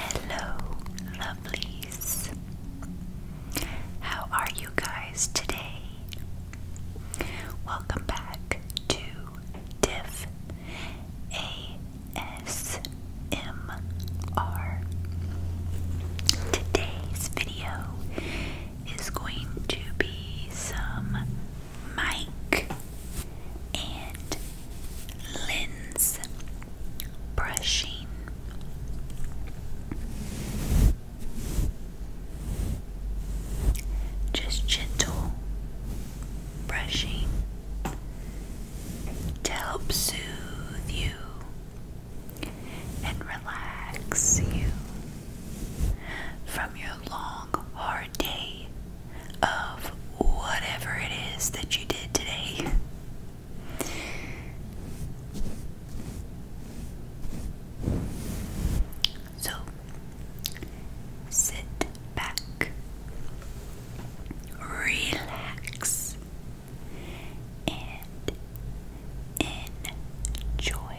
Hello, lovelies. How are you guys today? Welcome back to diff ASMR. Today's video is going to be some mic and lens brushing. Just gentle brushing to help soothe you and relax you from your long, hard day of whatever it is that you did today. So, Sit back, relax, and enjoy.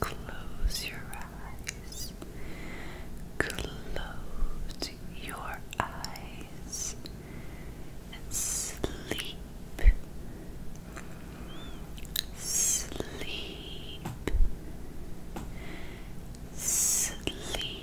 Close your eyes. Close your eyes and sleep. Sleep. Sleep. Sleep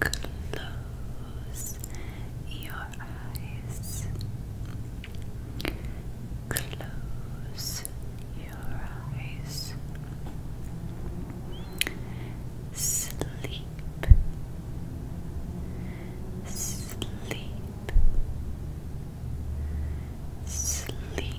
Close your eyes. Close your eyes. Sleep. Sleep. Sleep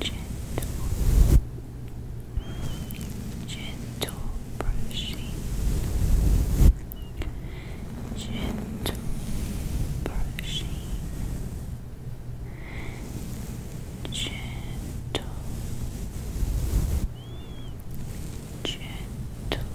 Gentle, gentle brushing gentle brushing, gentle, gentle, gentle.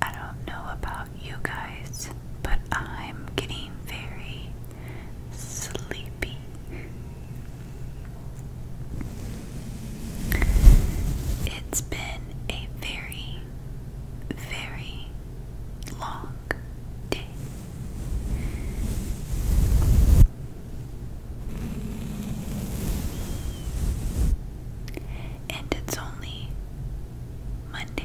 I don't know about you guys, but I'm getting very sleepy. It's been a very, very long day and it's only Monday.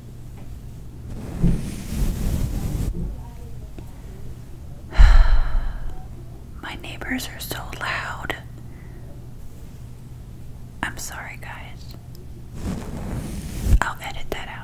My neighbors are so loud. I'm sorry, guys. I'll edit that out.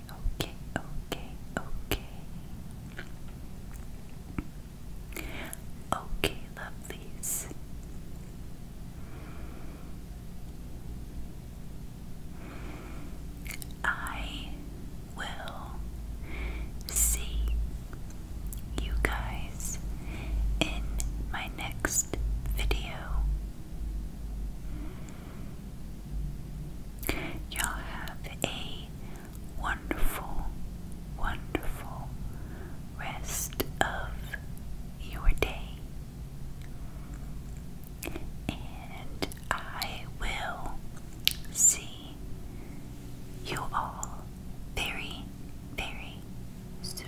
okay, okay, okay. Okay, lovelies. I will see you guys in my next video. Y'all have a wonderful, wonderful rest of your day. And I will see you all very, very soon.